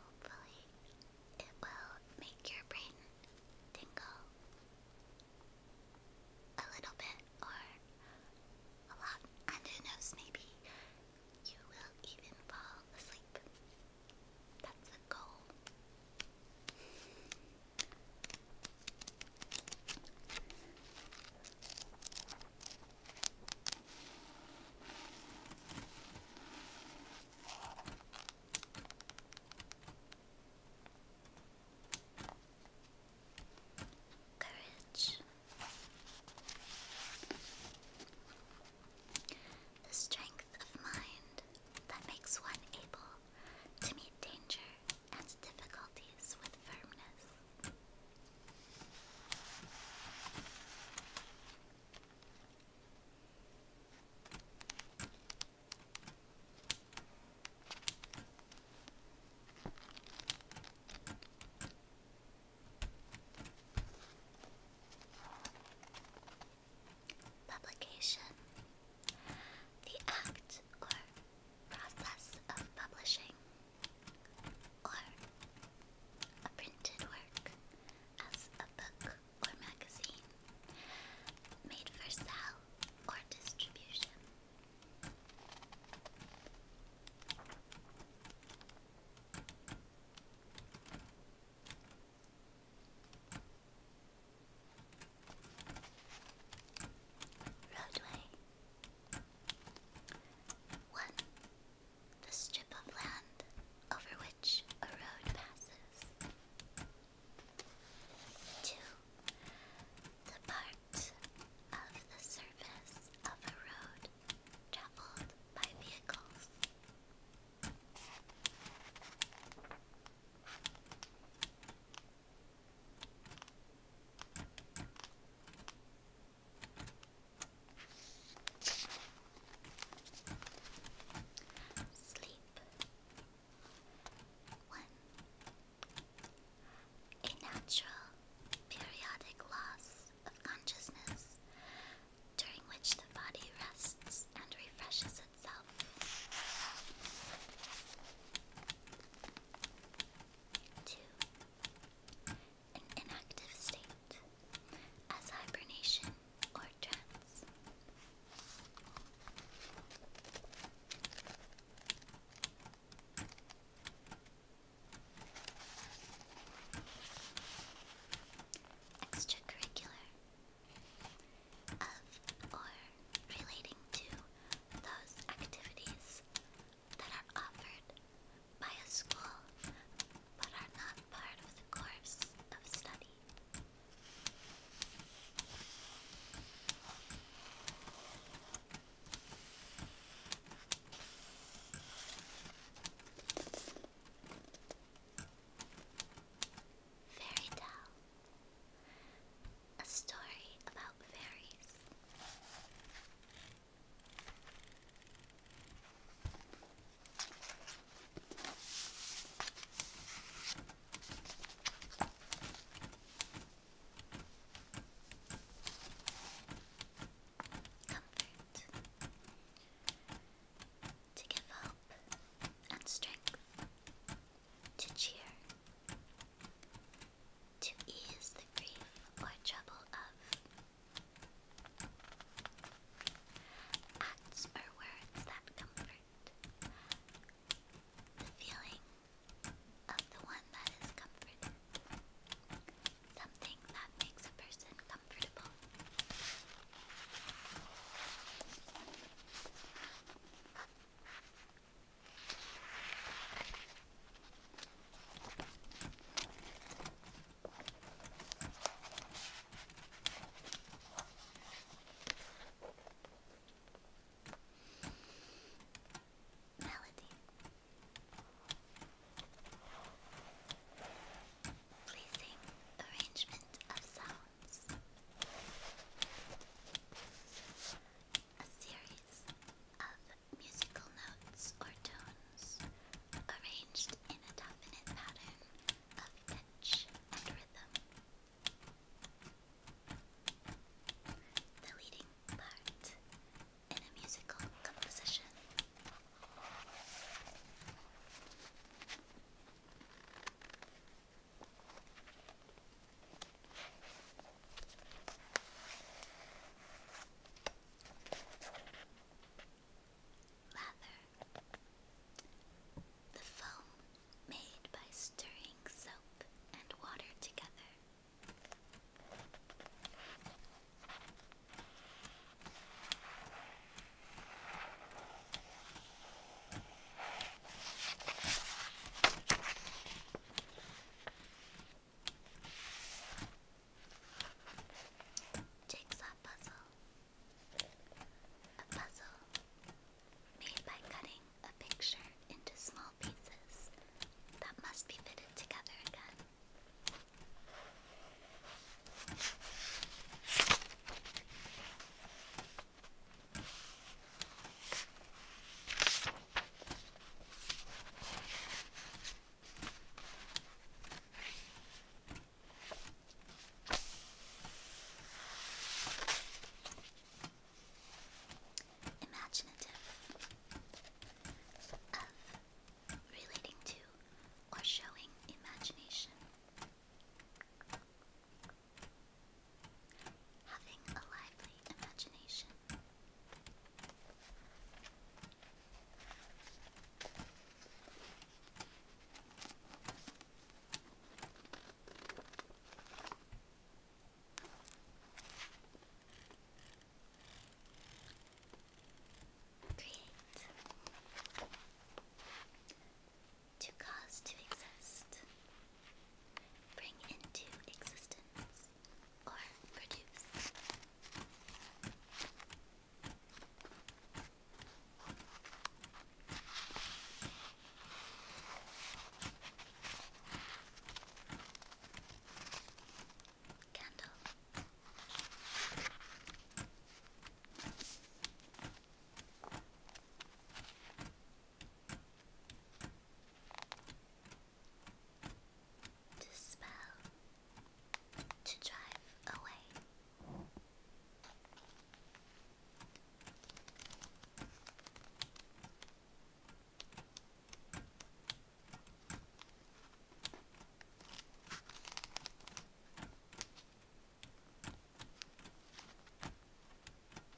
Hopefully, it will make your brain tingle a little bit or a lot, and who knows, maybe you will even fall asleep. That's the goal. Courage. The strength of mind that makes one able to meet danger and difficulties with firmness. Publication The act or process of publishing or a printed work as a book or magazine made for sale or distribution. Roadway 1. The strip of land over which a road passes. 2. The part of the surface of a road traveled by vehicles. Sleep. One. A natural, periodic loss of consciousness during which the body rests and refreshes itself. Two an inactive state, as hibernation or trance. Extracurricular of or relating to those activities that are offered by a school but are not part of the course of study. Fairy tale a story about fairies. Comfort to give hope and strength to cheer to ease the grief or trouble of. Acts or words that comfort the feeling of the one that is comforted. Something that makes a person comfortable. Melody, pleasing arrangement of sounds, a series of musical notes or tones arranged in a dominant pattern of pitch and rhythm. The leading part in a musical composition. Lather. The foam made by stirring soap and water together. Jigsaw puzzle. A puzzle made by cutting a picture into small pieces that must be fitted together again. Imaginative of relating to or showing imagination. Having a lively imagination. Create to cause to exist, bring into existence or produce. Candle to spell to drive away.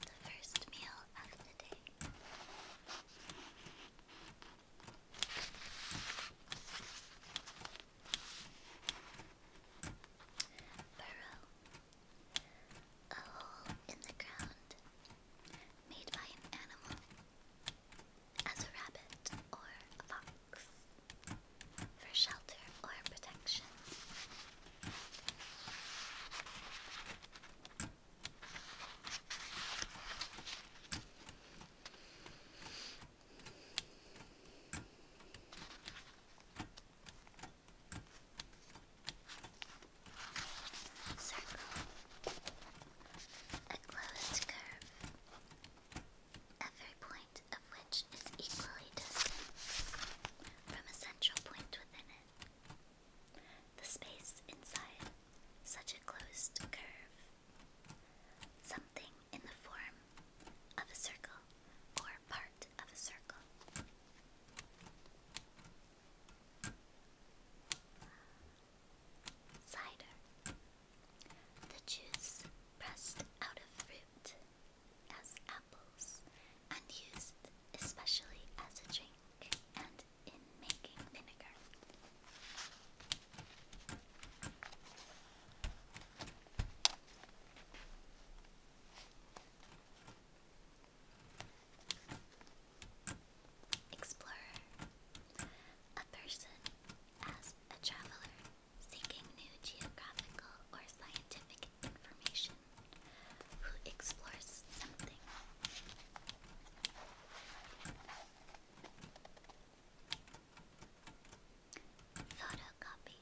the first meal of the day. Burrow. A hole in the ground made by an animal as a rabbit or a fox for shelter or protection. Circle, a closed curve, every point of which is equally distant from a central point within it. The space inside, such a closed curve. Something in the form of a circle or part of a circle. Cider. The juice pressed out of fruit as apples and used especially as a drink garlic Explorer. A person as a traveler seeking new geographical or scientific information who explores something. Photocopy.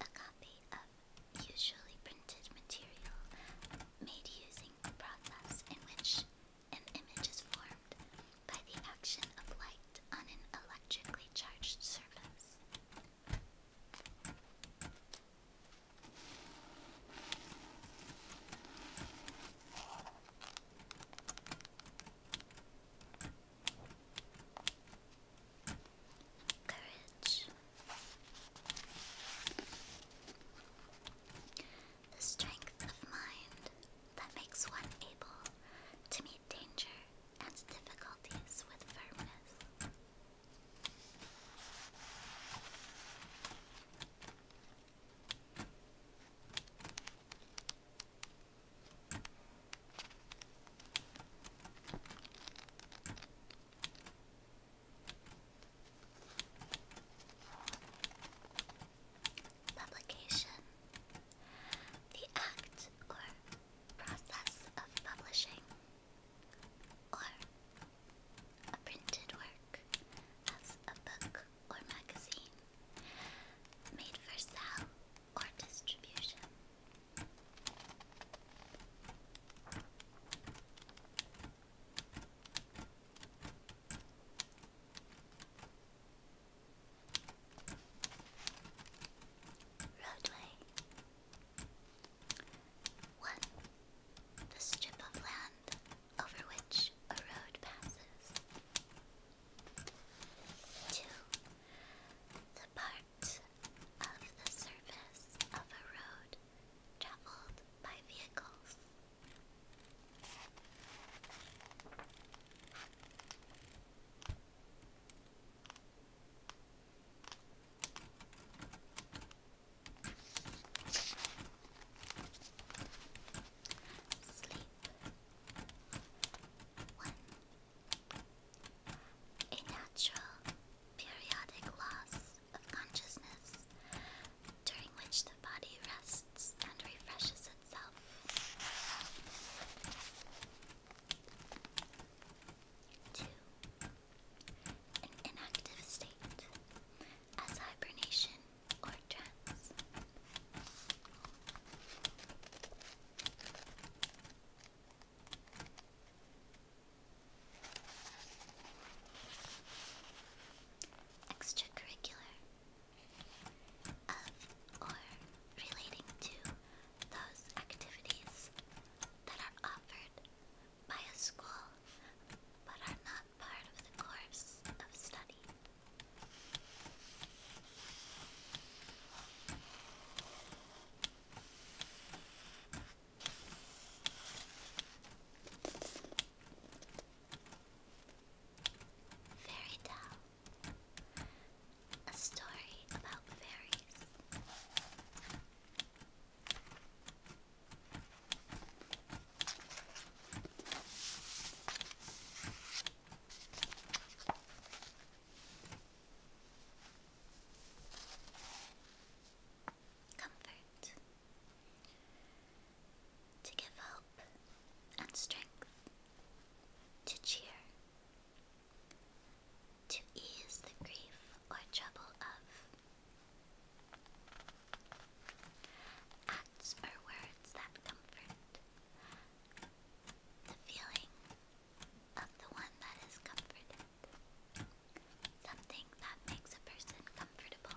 A copy of usually printed material made using the process in which an image is formed by the action of light on an electrically charged surface. Courage. The strength of mind that makes one able to meet danger and difficulties with firmness. Publication. The act or process of publishing or a printed work as a book or magazine made for sale or distribution. Roadway 1. The strip of land over which a road passes. 2. The part of the surface of a road traveled by vehicles. Sleep. A natural periodic loss of consciousness during which the body rests and refreshes itself to an inactive state as hibernation or trance. Extracurricular of or relating to those activities that are offered by a school, but are not part of the course of study. Fairy Tale a story about fairies. Comfort to give hope and strength, to cheer, to ease the grief or trouble of. Acts or words that comfort the feeling of the one that is comforted. Something that makes a person comfortable.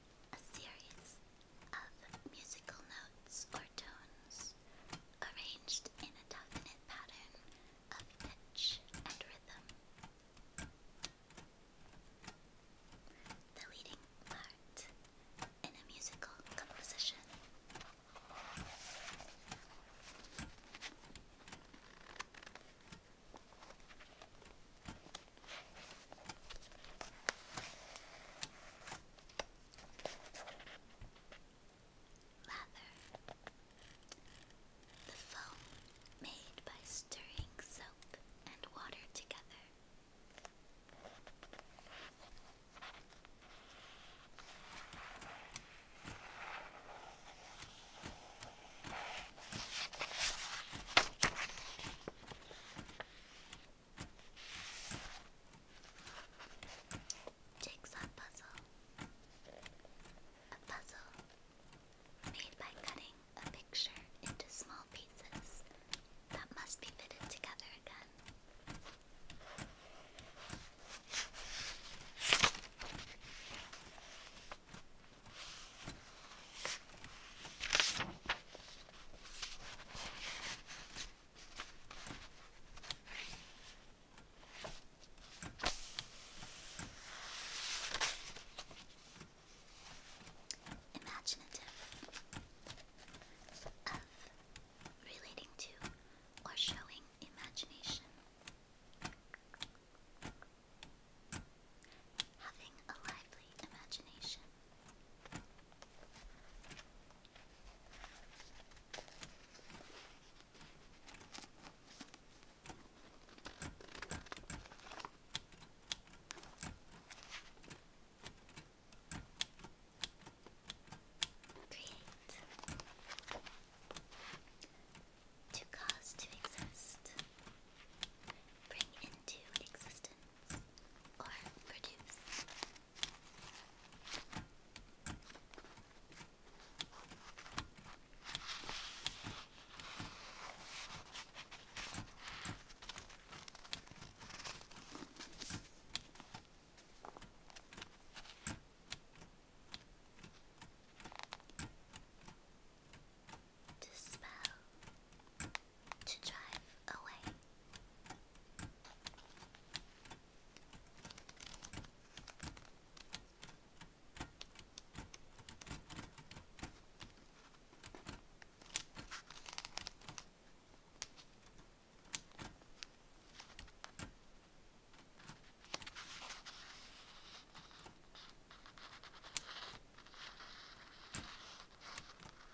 a series of musical notes or tones arranged in a definite pattern of pitch and rhythm. The leading part in a musical composition. Lather. The foam made by stirring soap and water together. Jigsaw puzzle. A puzzle made by cutting a picture into small pieces that must be fitted together again imaginative of relating to or showing imagination. Having a lively imagination. Create to cause to exist, bring into existence or produce. Dispel to drive away.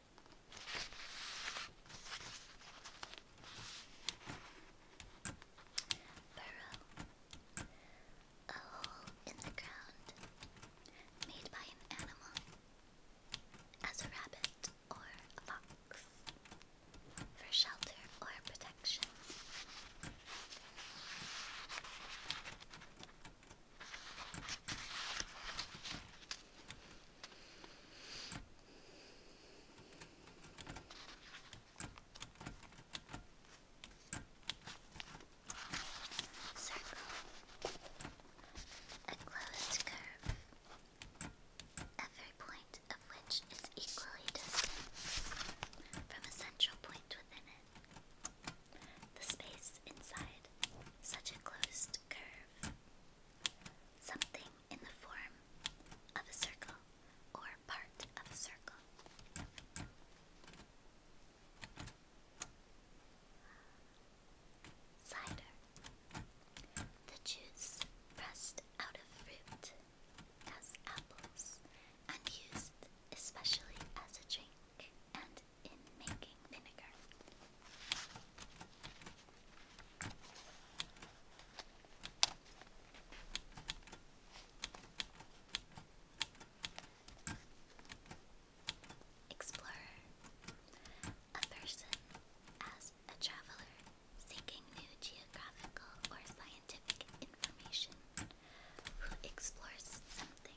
Burrow. A hole in the ground made by an animal as a rabbit or a fox for shelter or protection. Circle. A closed curve. Every point of which is equally distant from a central point within it. The space inside such a closed curve. Something in the form of a circle or part of a circle. Cider. The juice pressed out of fruit as apples and used especially as a drink and in making vinegar. Explorer, a person as a traveler seeking new geographical or scientific information who explores something.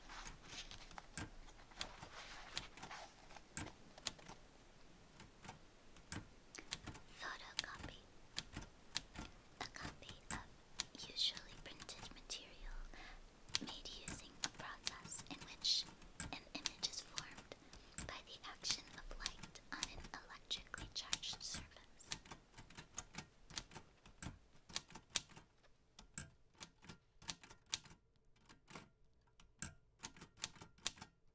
Photocopy. A copy of usually printed material made using a process in which an image is formed by the action of light on an electrically charged surface.